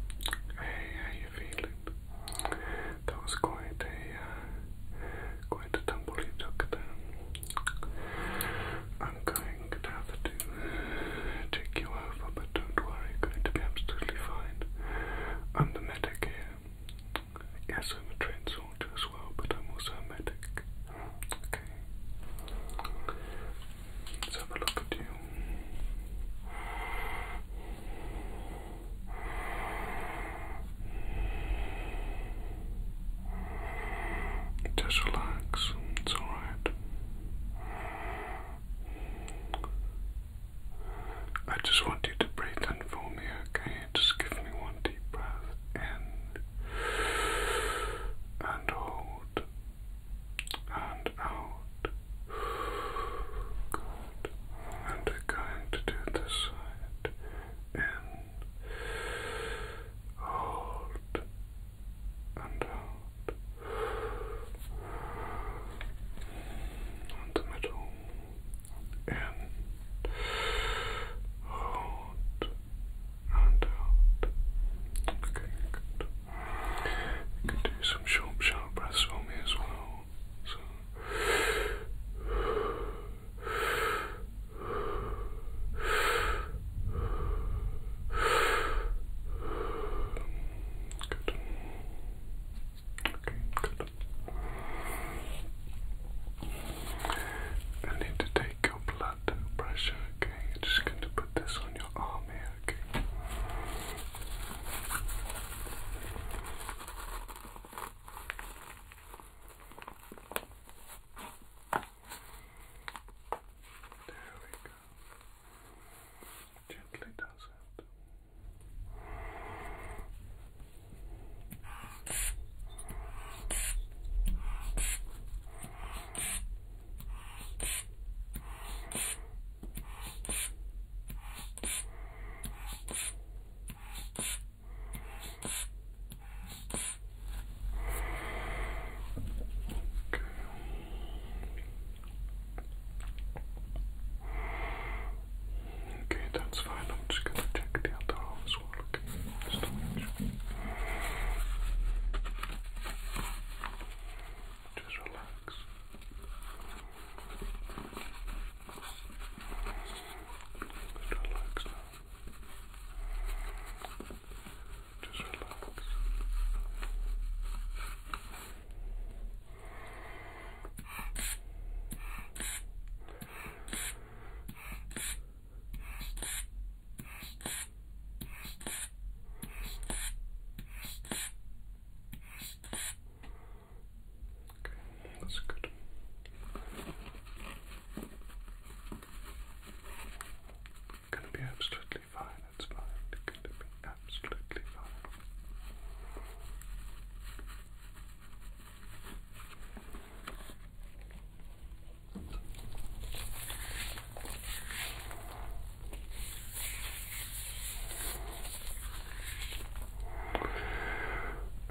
Hey, how you feeling? That was quite a uh, quite a tumble you took I'm going to have to take you over, but don't worry, you going to be absolutely fine. I'm the medic here. Yes, I'm a trained as well, but I'm also a medic. Okay. Just relax, it's alright. I just want you to breathe in for me, okay? Just give me one deep breath in and hold and out. Good. And going to do this side in. Hold and out. the middle. In. Hold and Okay, good can do some sharp, sharp breaths for me as well. Good. Okay, good. I need to take your blood pressure, okay? I'm just going to put this on your arm here back. There we go. Gently does it. Okay, that's fine. I'm just going to check the other arm as well. Okay, just relax. Just relax now. Just relax. Just relax that's good. Gonna be absolutely fine, it's fine. It's gonna be absolutely fine.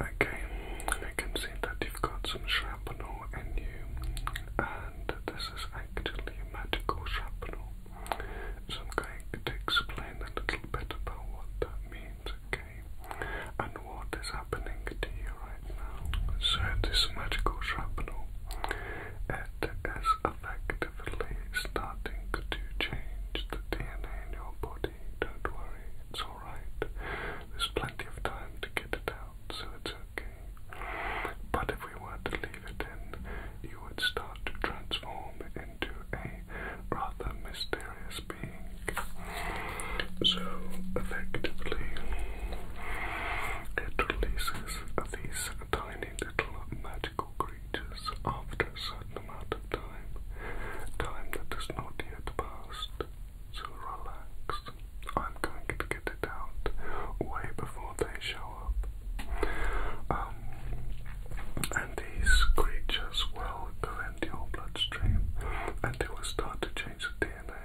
Okay, I can see that you've got some shrapnel in you, and this is actually medical shrapnel. So I'm going to explain a little bit about what that means, okay, and what is happening to you right now. So this medical shrapnel, it is affecting actively starting to change the DNA in your body. Don't worry, it's alright. There's plenty of time to get it out, so it's okay. But if we were to leave it in, you would start to transform into a rather mysterious being. So, effectively, it releases these tiny little magical creatures creatures after a certain amount of time, time that is not yet past. So relax. I'm going to get it out way before they show up. Um, and these creatures will go into your bloodstream and it will start to change the DNA.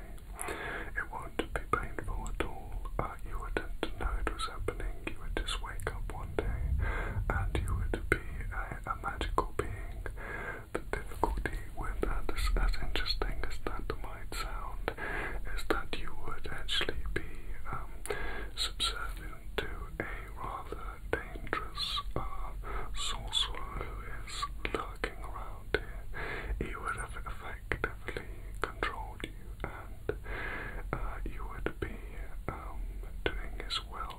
It won't be painful at all you wouldn't know it was happening. You would just wake up one day and you would be a, magical being. The difficulty with that, is, as interesting as that might sound, is that you would actually be um, subservient to a rather dangerous uh, sorcerer who is lurking around here. He would have effectively control and uh, you would be um, doing his will,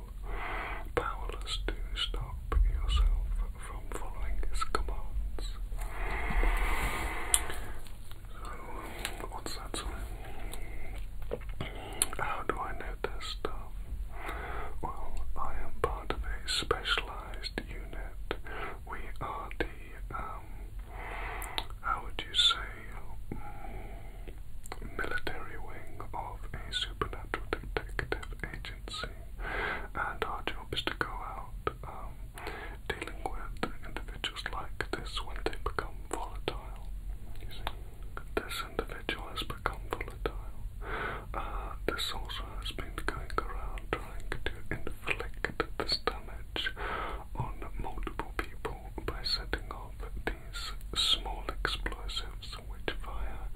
powerless to stop yourself from following his commands. So, what's that How do I know this stuff? Well, I am part of a specialized unit. We are the um, how would you say, mm, military wing of a supernatural detective agency. And our job is to go out um, dealing with individuals like this when they become volatile. this individual has become volatile. Uh, this also has been going around trying to inflict this damage on multiple people people by setting off these small explosives which fire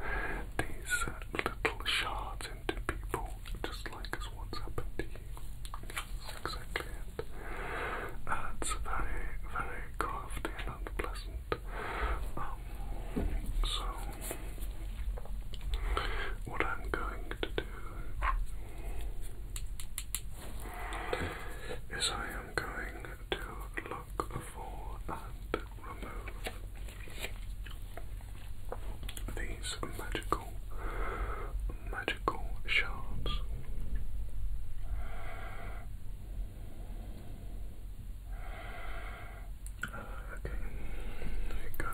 these uh, little shards into people, just like as what's happened to you. Uh, it's very, very crafty and unpleasant. Um, so, what I'm going to do is I am going to look for and remove these magical, magical shards. Uh, okay, there you go.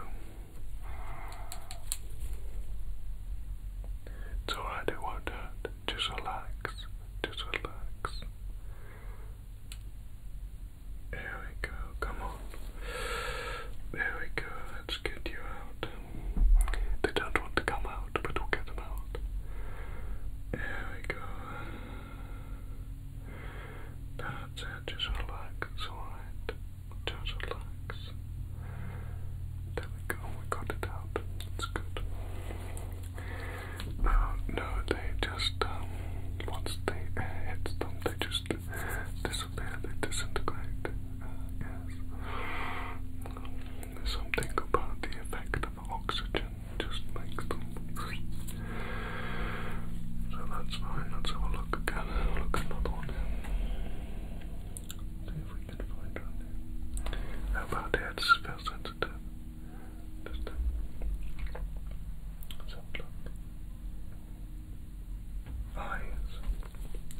It's alright, it won't hurt just relax, just relax. There we go, come on. There we go, let's get you out. They don't want to come out, but we'll get them out. There we go. That's it, just relax, alright. Just relax. There we go, we got it out. It's good. no, they just, um, once they hit them, they just disappear, they disintegrate. Uh, yes. something about the effect of oxygen just makes them. So that's fine, let's have a look again. look another one how about that? spell sensitive. Just Okay.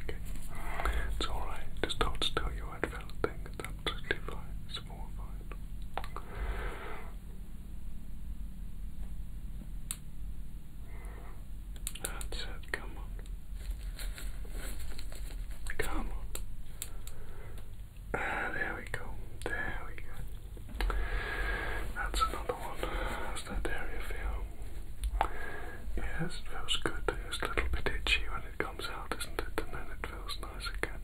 It's alright. Just hold still. You won't feel a thing. fine. It's more fine. That's it, come on. Come Ah, there we go. There we go. That's another one. How's that area feel? Yes, it feels good. It's a little bit itchy when it comes out, does not it? And then it feels nice again.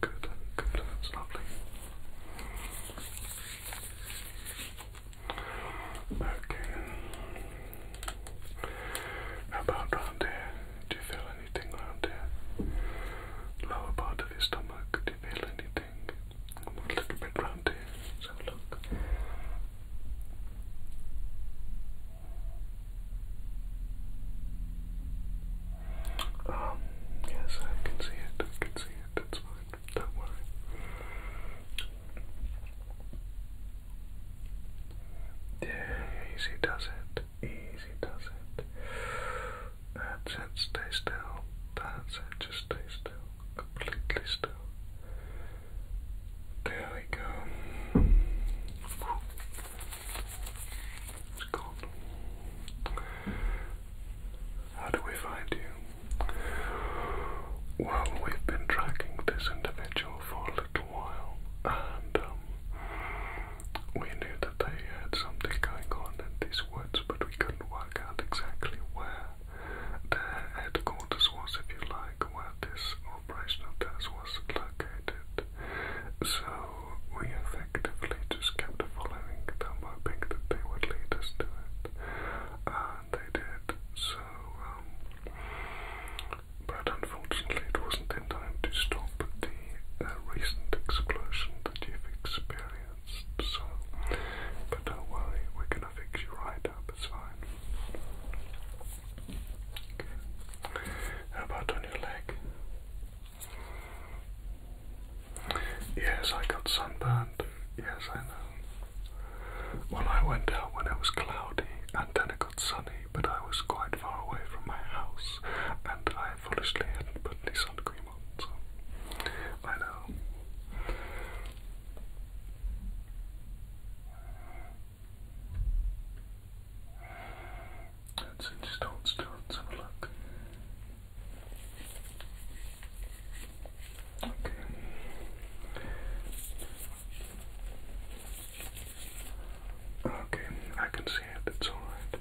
Good, good. That's lovely. Okay about round here? Do you feel anything round here? Lower part of your stomach, do you feel anything? a little bit round here. let look. Um, yes, I can see it, I can see it, that's fine, don't worry. Yeah, easy does it. Easy does it. That's it, stay still. That's it, just stay still. Completely still. There we go. It's How do we find you? Well, we've been tracking this individual for a little while, and um, we knew that they had something going on in these woods, but we couldn't work out exactly where their headquarters was, if you like, where this operational desk was located. So we effectively just kept following them, hoping that they would lead us to it, and they did. So um, but unfortunately it wasn't in time to stop the uh, recent explosion that you've experienced. So, but don't worry, we're gonna fix you right up. It's fine. How about on your leg? Yes, I got sunburned. Yes, I know. Well, I went out when it was cloudy and then it got sunny but I was quite far away from my house, and I foolishly had put this sun cream on, so I know. Let's just hold still and have a look. Okay. Okay, I can see it, it's alright.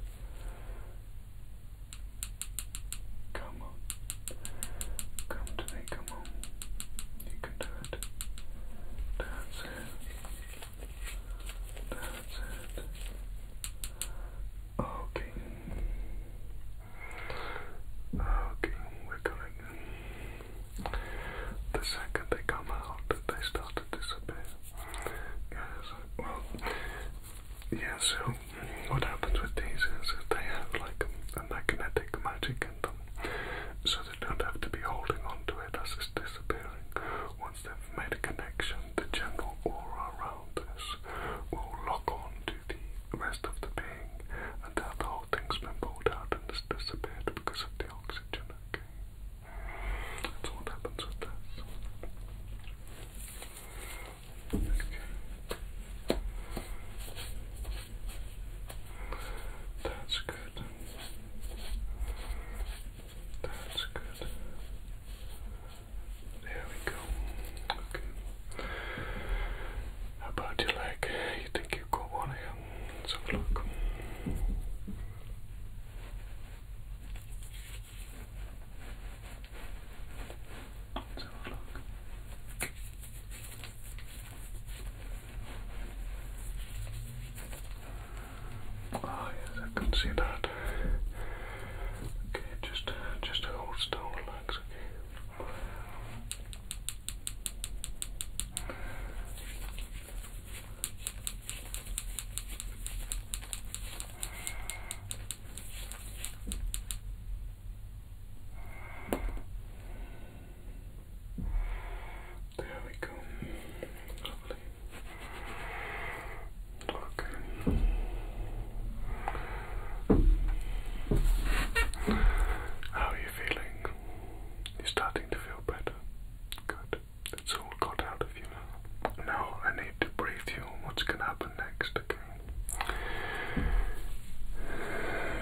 Come on. Come to come on. You can do it. That's it. That's it. Okay. Okay, we're going. The second they come out, they start to disappear. Yes, well, yeah, so what happens with these is that they have like a, magnetic magic in them, so they don't have to be holding on to it as it's disappearing. Once they've made a connection, the general aura around this will lock on to the rest of the being, and that the whole thing's been pulled out and disappeared because of the oxygen that's what happens with this. Okay. That's good. That's good. There we go. Okay. How about your leg? You think you've got one yeah, let Ah, yes, I can see that. Okay, just, just hold still, relax, there we go. Lovely. Okay. How are you feeling? You're starting to feel better. Good. It's all got out of you now. Now I need to brief you what's going to happen next,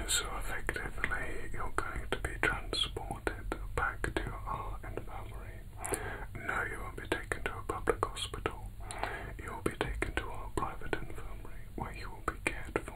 So effectively, you're going to be transported back to our infirmary. No, you won't be taken to a public hospital. You will be taken to our private infirmary where you will be cared for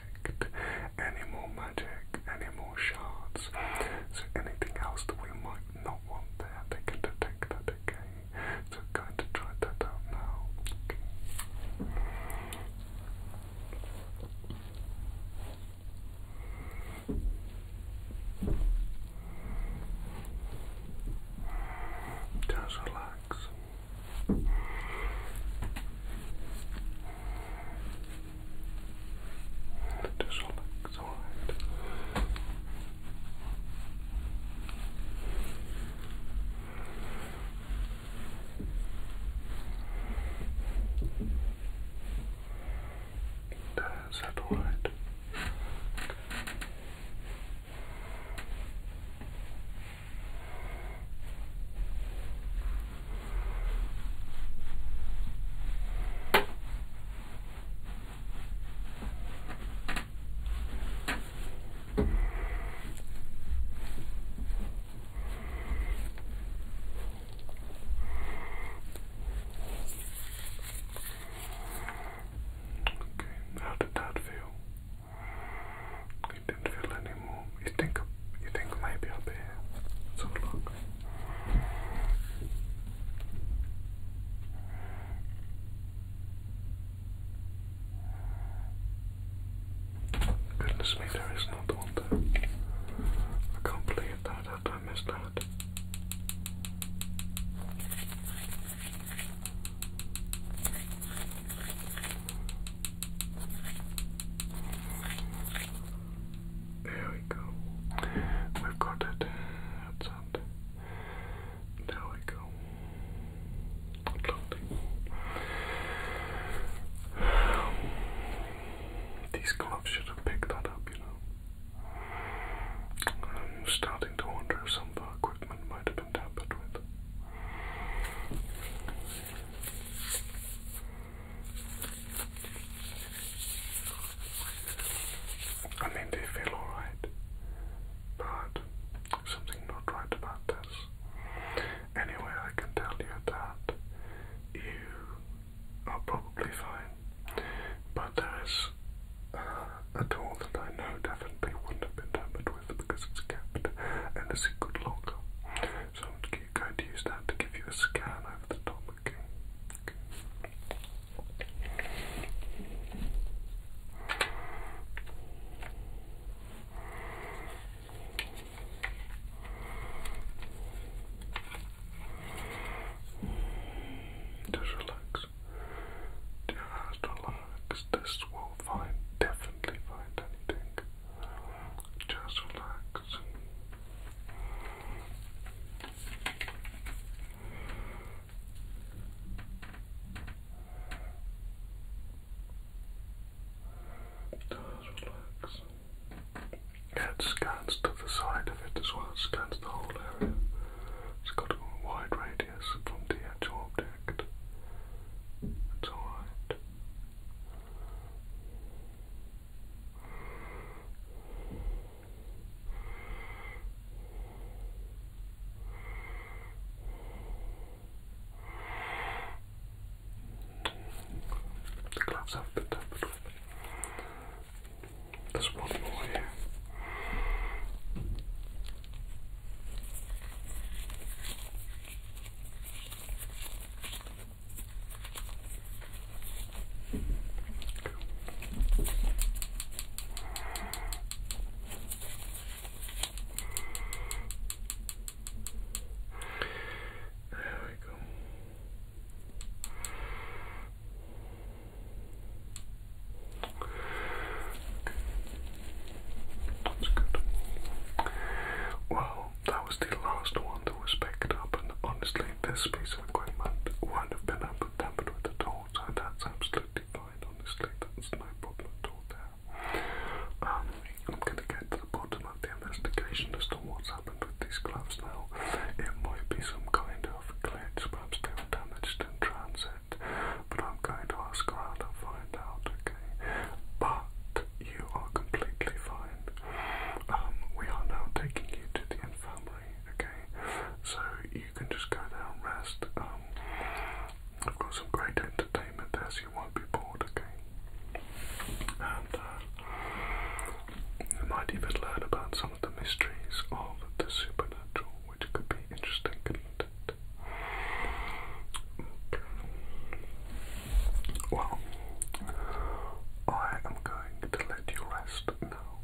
any more magic, any more shards. So anything else that we might not want there, they can detect that, okay? So i going to try that out now. Okay. Just relax. Just relax, all right. That's all right. Okay, how did that feel? it didn't feel anymore. You think you think maybe up here? let look. Goodness me, there is another one I can't believe that, I, I missed that. There we go. We've got it. That's it. There we go. Lovely. These gloves should have picked that up, you know. I'm starting to wonder if some of our equipment might have been tampered with. I mean, they feel alright, but something not right about this. Anyway, I can tell you that you are probably fine, but there is uh, a tool that I know definitely wouldn't have been tampered with because it's kept and it's a good lock. I'm going to use that to give you a scan over the top, okay? okay. Just relax. Just relax. This will find definitely find anything. Just relax. Just relax. it scans to the side of it as well, it scans the whole area. It's got a wide radius from the actual object. It's alright. The gloves have been tampered with. There's one more here. There we go. That's good. Well, that was the last one that was picked up, and honestly, this piece of equipment would not have been tampered with at all, and that's absolutely fine. Honestly, that's my problem at all there. Um, I'm going to get to the bottom of the investigation as to what's happened with these gloves now. It might be some kind of glitch, perhaps they were damaged in transit, but I'm going to ask around and find out, okay? But you are completely fine. Um, we are now taking you to the infirmary, okay? So you can just go there and rest. Um, I've got some great entertainment there, you won't be bored, okay? And uh, you might even learn about some of the mysteries of the supernatural, which could be interesting, could Okay. Well, I am going to let you rest now,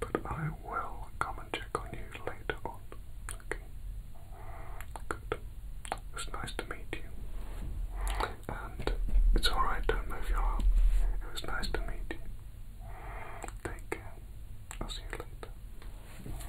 but I will come and check on you later on. Okay? Good. It's nice to meet you. And it's alright, don't move your arm. It was nice to meet you. Take care. I'll see you later.